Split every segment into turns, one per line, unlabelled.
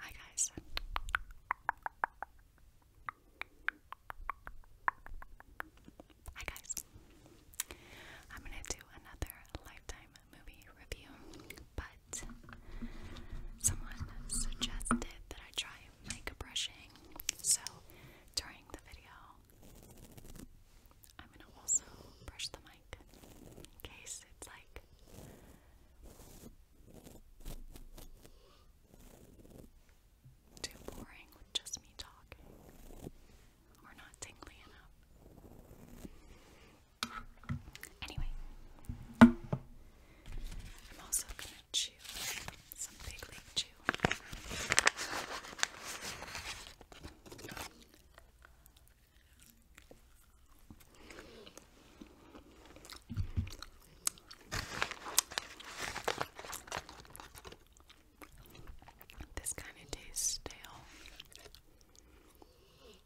Hi guys. Hi guys. I'm gonna do another lifetime movie review, but someone suggested that I try mic brushing, so during the video I'm gonna also brush the mic in case it's like too boring with just me talking. Or not tingly enough. Anyway, I'm also gonna chew some big league chew. This kind of tastes stale. Okay.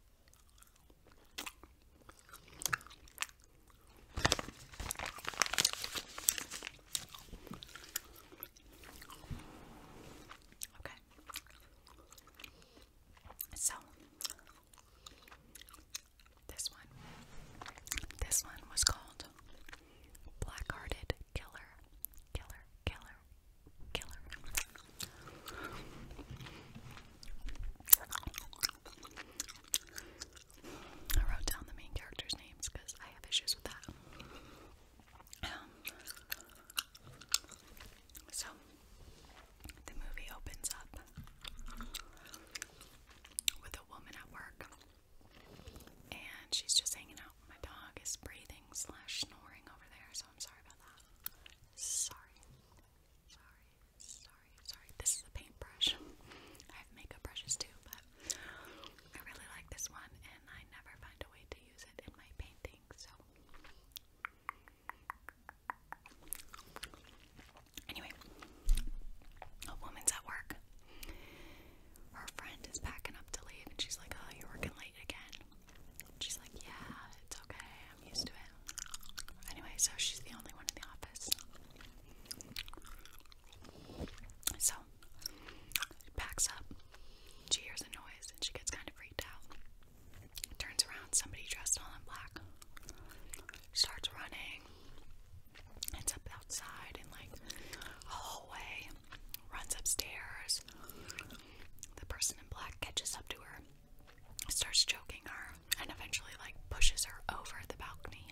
So this one. This one was called Black Hearted Killer. Killer, killer, killer. I wrote down the main characters' names because I have issues with that. Um, so, the movie opens up with a woman at work, and she's just hanging out. My dog is breathing slash snoring over there, so I'm sorry about that. Sorry, sorry, sorry, sorry. This is a paintbrush. I have makeup brushes too, but I really like this one, and I never find a way to use it in my painting, so. Anyway, a woman's at work. Her friend is packing up to leave, and she's like, Oh, you're working late again. She's like, Yeah, it's okay. I'm used to it. Anyway, so she's the only one in the office. So, she packs up, she hears a noise, and she gets kind of freaked out. Turns around, somebody dressed all in black starts running. Ends up outside in like a hallway, runs upstairs. The person in black catches up to her, starts choking her, and eventually like pushes her over the balcony.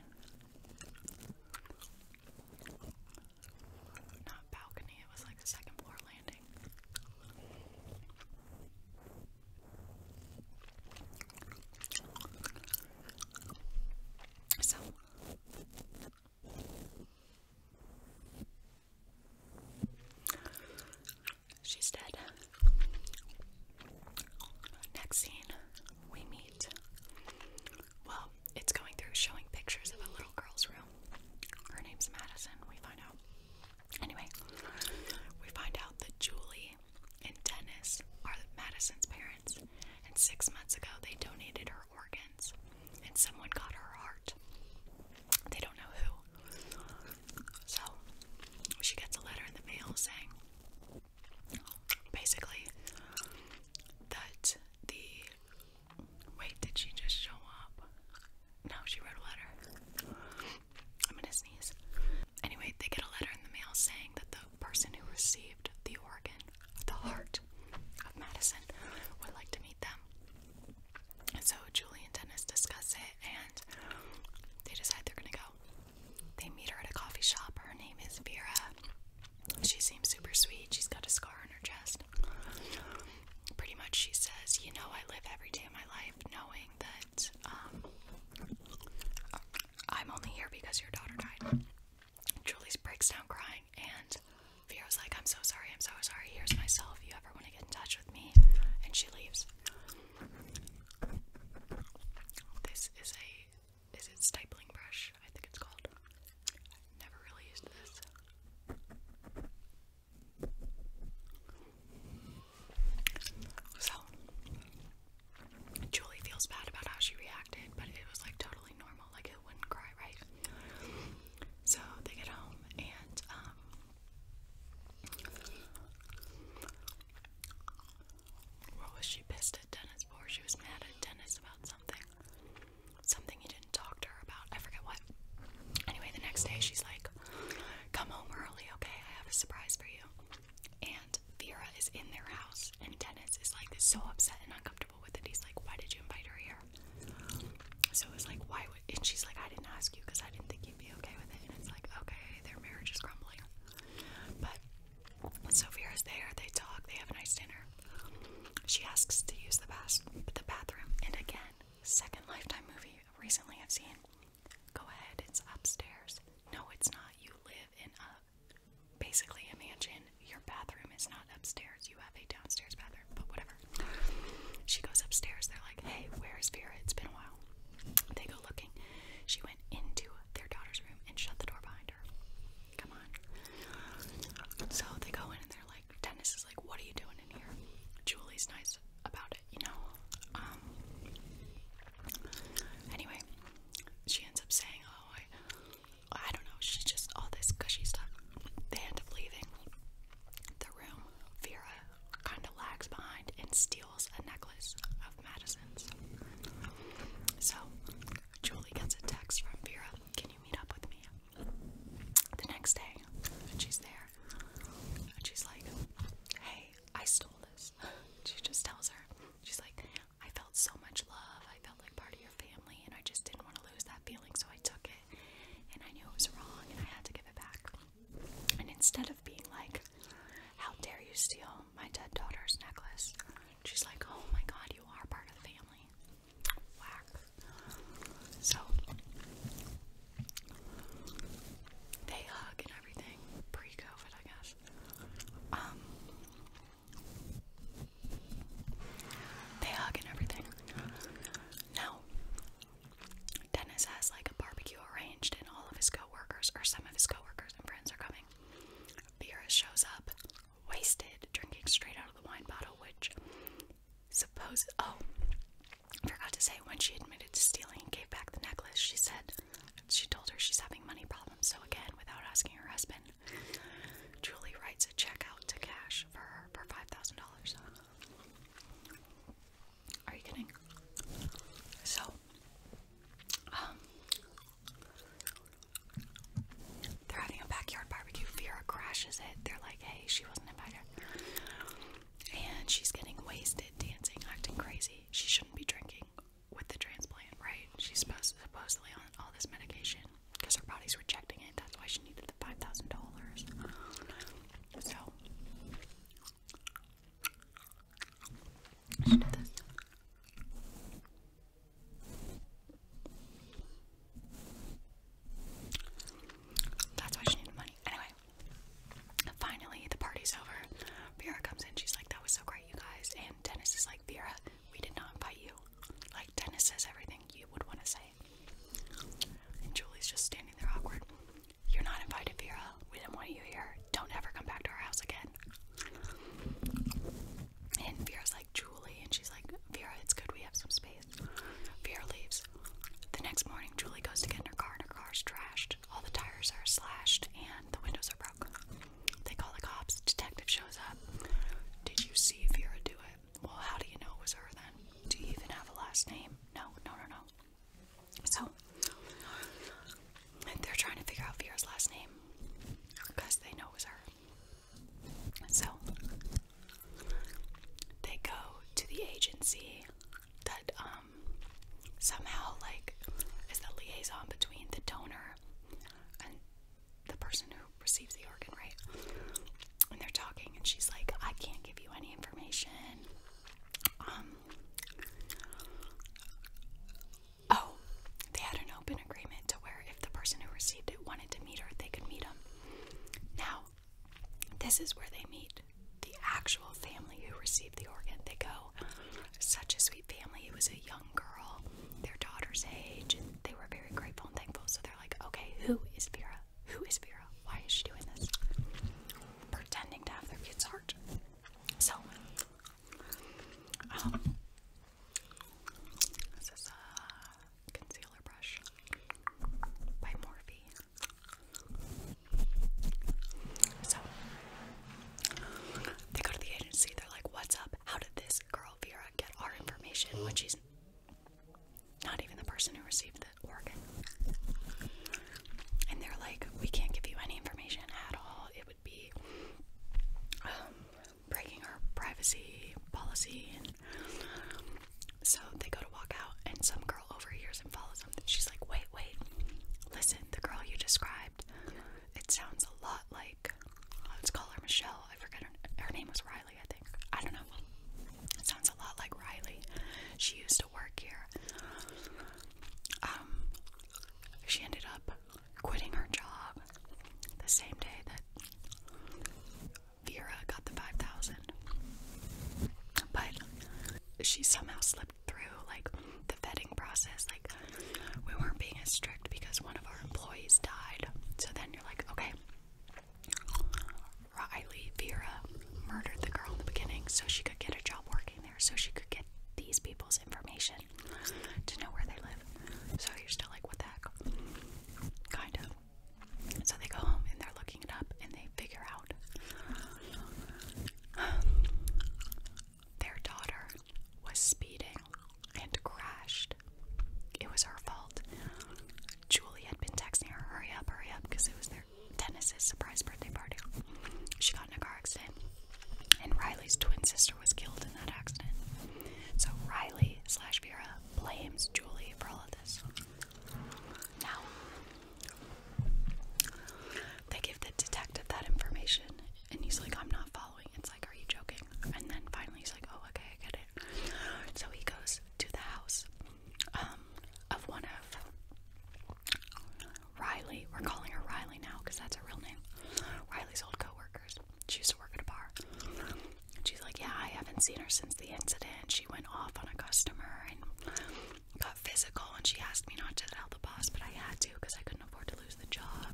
Not balcony, it was like a second floor landing she's dead. Next scene, we meet. Well, it's going through showing pictures of a little girl's room. Her name's Madison, we find out. Anyway, we find out that Julie and Dennis are Madison's parents, and six months ago they donated her organs, and someone got her heart. They don't know who. So she gets a letter in the mail saying basically that the. Wait, did she just show up? No, she wrote a letter. I'm gonna sneeze. Anyway, they get a letter in the mail saying that the person who received the organ, of the heart of Madison, would like to meet them. so Julie and Dennis discuss it and they decide they're gonna go. They meet her at a coffee shop. Her name is Vera. She seems super sweet. She's got a scar on her chest. Pretty much, she says, You know, I live every day of my life knowing that um, I'm only here because your daughter died. Julie's breaks down crying, and Vera's like, I'm so sorry, I'm so sorry, here's myself, If you ever want to get in touch with me? And she leaves. This is a, is it stipling brush? I think it's called. never really used this. So Julie feels bad about how she reacted, but it was like totally normal, like it wouldn't cry, right? So they get home and um what was she pissed at Dennis for? She was mad at Dennis about something. Something he didn't talk to her about. I forget what. Anyway, the next day she's like Come home early, okay? I have a surprise for you. And Vera is in their house, and Dennis is like so upset and uncomfortable with it. He's like, Why did you invite her here? So it's like, Why would. And she's like, I didn't ask you because I didn't think you'd be okay with it. And it's like, Okay, their marriage is crumbling. But so Vera's there, they talk, they have a nice dinner. She asks to use the, bas the bathroom, and again, second Lifetime movie recently I've seen Go ahead, it's upstairs. No, it's not. You live in a basically a mansion. Your bathroom is not upstairs. You have a downstairs bathroom, but whatever. She goes upstairs. They're like, hey, where's Vera? It's been a while. They go looking. She went into their daughter's room and shut the door behind her. Come on. So they go in and they're like, Dennis is like, what are you doing in here? Julie's nice about it, you know? Um, anyway, she ends up saying, oh, I, I don't know, she's just all this gushy stuff. They end up leaving the room. Vera kind of lags behind and steals a necklace of Madison's. So, Julie gets a text from Vera, can you meet up with me? The next day, she's there, and she's like, hey, I stole this. She just tells her, she's like, I felt so much love. I felt like part of your family, and I just didn't want to lose that feeling, so I took it. And I knew it was wrong, and I had to give it back. And instead of being like, How dare you steal my dead daughter's necklace? She's like, Oh my god, you are part of the family. Whack. So they hug, everything pre-COVID, I guess. Um, they hug and everything. Now, Dennis has like a barbecue arranged, and all of his co or some of his co and friends, are coming. Vera shows up, wasted, drinking straight out of the wine bottle, which supposes. Oh, forgot to say when she admitted to stealing and gave back the necklace, she said she told her she's having money problems. So again, without asking her husband, Julie writes a check out to cash for her for five thousand dollars. Are you kidding? So, um, they're having a backyard barbecue. Vera crashes it. They're like, "Hey, she wasn't invited." and she's getting wasted, dancing, acting crazy. She shouldn't be drinking with the transplant, right? She's supposed supposedly on all this medication because her body's rejecting it. That's why she needed the five thousand dollars. So she did this. That's why she needed money. Anyway, Finally, the party's over. Vera comes in. She's like, that was so great, you guys. And Dennis is like, Vera, we did not invite you. Like, Dennis says everything you would want to say. And Julie's just standing there awkward. You're not invited, Vera. We didn't want you here. Don't ever come back to our house again. And Vera's like, Julie. And she's like, Vera, it's good we have some space. Vera leaves. The next morning, Julie goes to get in her car, and her car's trashed. All the tires are slashed and the windows are broken. They call the cops. Detective shows up. Did you see Vera do it? Well, how do you know it was her then? Do you even have a last name? No, no, no, no. So, they're trying to figure out Vera's last name because they know it was her. So, they go to the agency that um, um, somehow like is the liaison between the donor and the person who receives the organ, right? And they're talking, and she's like, "I can't give you any information." Um. Oh, they had an open agreement to where if the person who received it wanted to meet her, they could meet him. Now, this is where they meet the actual family who received the organ. They go, such a sweet family. It was a young girl, their daughter's age, and they were very grateful and thankful. So they're like, okay, who is Vera? Who is Vera? Why is she doing this? Pretending to have their kid's heart. So, um, this is a concealer brush by Morphe. So they go to the agency, they're like, What's up? How did this girl Vera get our information when she's not even the person who received the organ? And they're like, We can't give you any information at all. It would be um, breaking our privacy policy. And so they go to walk out, and some girl overhears and follows him. She's like, wait, wait, listen, the girl you described, it sounds a lot like, let's call her Michelle. I forget her, name was Riley, I think. I don't know. It sounds a lot like Riley. She used to work here. Um, she ended up quitting her job the same day that Vera got the 5000 but she somehow slipped through like the vetting process. Like we weren't being as strict because one of our employees died. So then you're like, okay, Riley Vera murdered the girl in the beginning so she could get a job working there, so she could get these people's information to know where they live. So you're still like, what the heck? Kind of. So they go home and they're looking it up and they figure out Their daughter was speeding and crashed. It was her fault. Julie had been texting her, hurry up, hurry up, because it was their Dennis's surprise birthday party. She got in a car accident, and Riley's twin sister was killed in that accident. So Riley slash Vera blames Julie for all of this. Now, they give the detective that information, and he's like, I'm not following. It's like, are you joking? And then finally he's like, oh, okay, I get it. So he goes to the house um, of one of Riley. We're calling her Riley now because that's her real name. Riley's old coworkers. She used to work at a bar. She's like, yeah, I haven't seen her since the incident. She went off on a customer and got physical and she asked me not to tell the boss, but I had to because I couldn't afford to lose the job.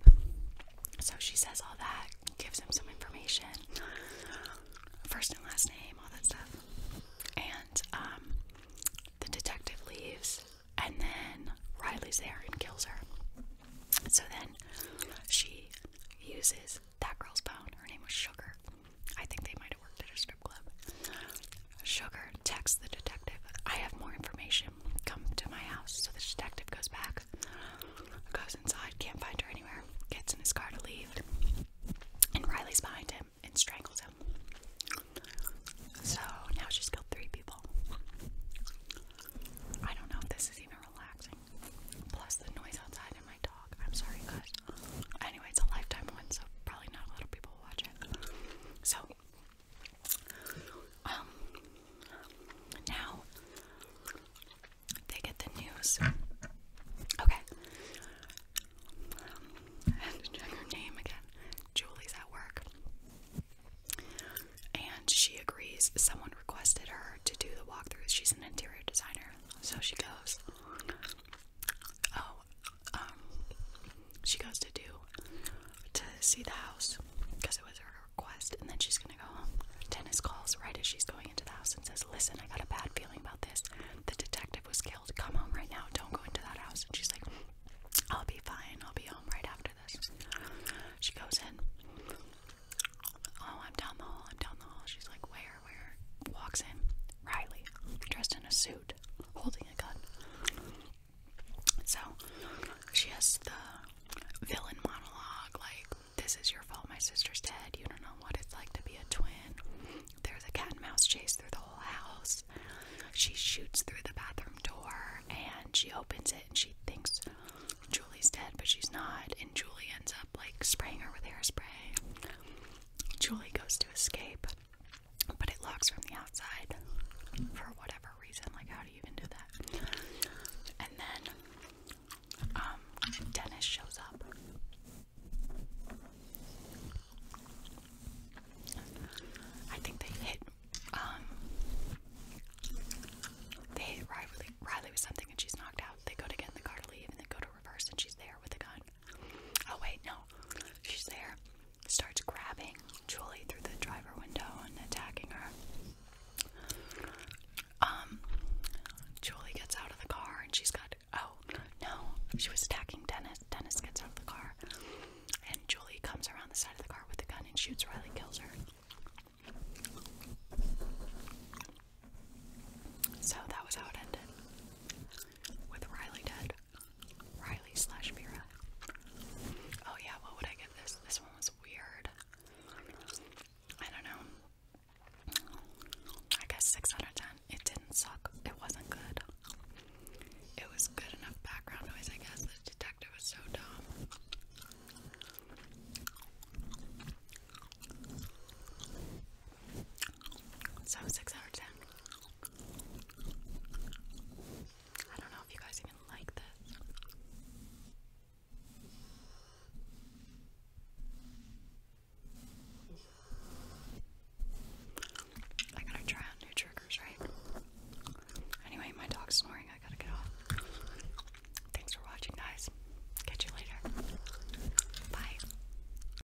So she says all that, gives him some information, first and last name, all that stuff. And um, the detective leaves, and then Riley's there and kills her. So then she uses that girl's phone. Her name was Sugar. I think they might have worked at a strip club. Sugar texts the detective, I have more information. Come to my house. So the detective goes back, goes inside, can't find her anywhere, gets in his car to leave, and Riley's behind him and strangles him. So now she's killed three people. I don't know if this is even relaxing. Plus the noise outside and my dog. I'm sorry guys. Anyway, it's a lifetime one, so probably not a lot of people so, um, now they get the news. Okay. Um, I name again. Julie's at work. And she agrees. Someone requested her to do the walkthroughs. She's an interior designer. So she goes, oh, um, she goes to do to see the house because it was her request, and then she's gonna go home. Dennis calls right as she's going into the house and says, "Listen, I got a bad feeling about this. The detective was killed. Come home right now. Don't go into that house." And she's like, "I'll be fine. I'll be home right after this." She goes in. Oh, I'm down the hall. I'm down the hall. She's like, "Where? Where?" Walks in. Riley, dressed in a suit, holding a gun. So she has the villain monologue like, This is your fault, my sister's dead. You don't know what it's like to be a twin. There's a cat and mouse chase through the whole house. She shoots through the bathroom door and she opens it and she thinks Julie's dead, but she's not. And Julie ends up like spraying her with hairspray. Julie goes to escape but it locks from the outside for whatever reason. Like, how do you even do that? And then, um, Dennis shows up. I think they hit, um, they hit Riley, with something and she's knocked out. They go to get in the car to leave and they go to reverse and she's there with a the gun. Oh wait, no. She's there. Starts grabbing Julie through the driver window and attacking her. Um Julie gets out of the car and she's got oh no, she was attacking Dennis. Dennis gets out of the car and Julie comes around the side of the car with a gun and shoots Riley kills her. So that was how it ended with Riley Dead. Riley slash Vera. Oh yeah, what would I give this? This one was weird. I don't know. I guess 6 It didn't suck. It wasn't good. It was good enough background noise, I guess. The detective was so dumb. So 6 I don't know if you guys even like this. I gotta try out new triggers, right? Anyway, my dog's snoring. I gotta get off. Thanks for watching, guys. Catch you later. Bye.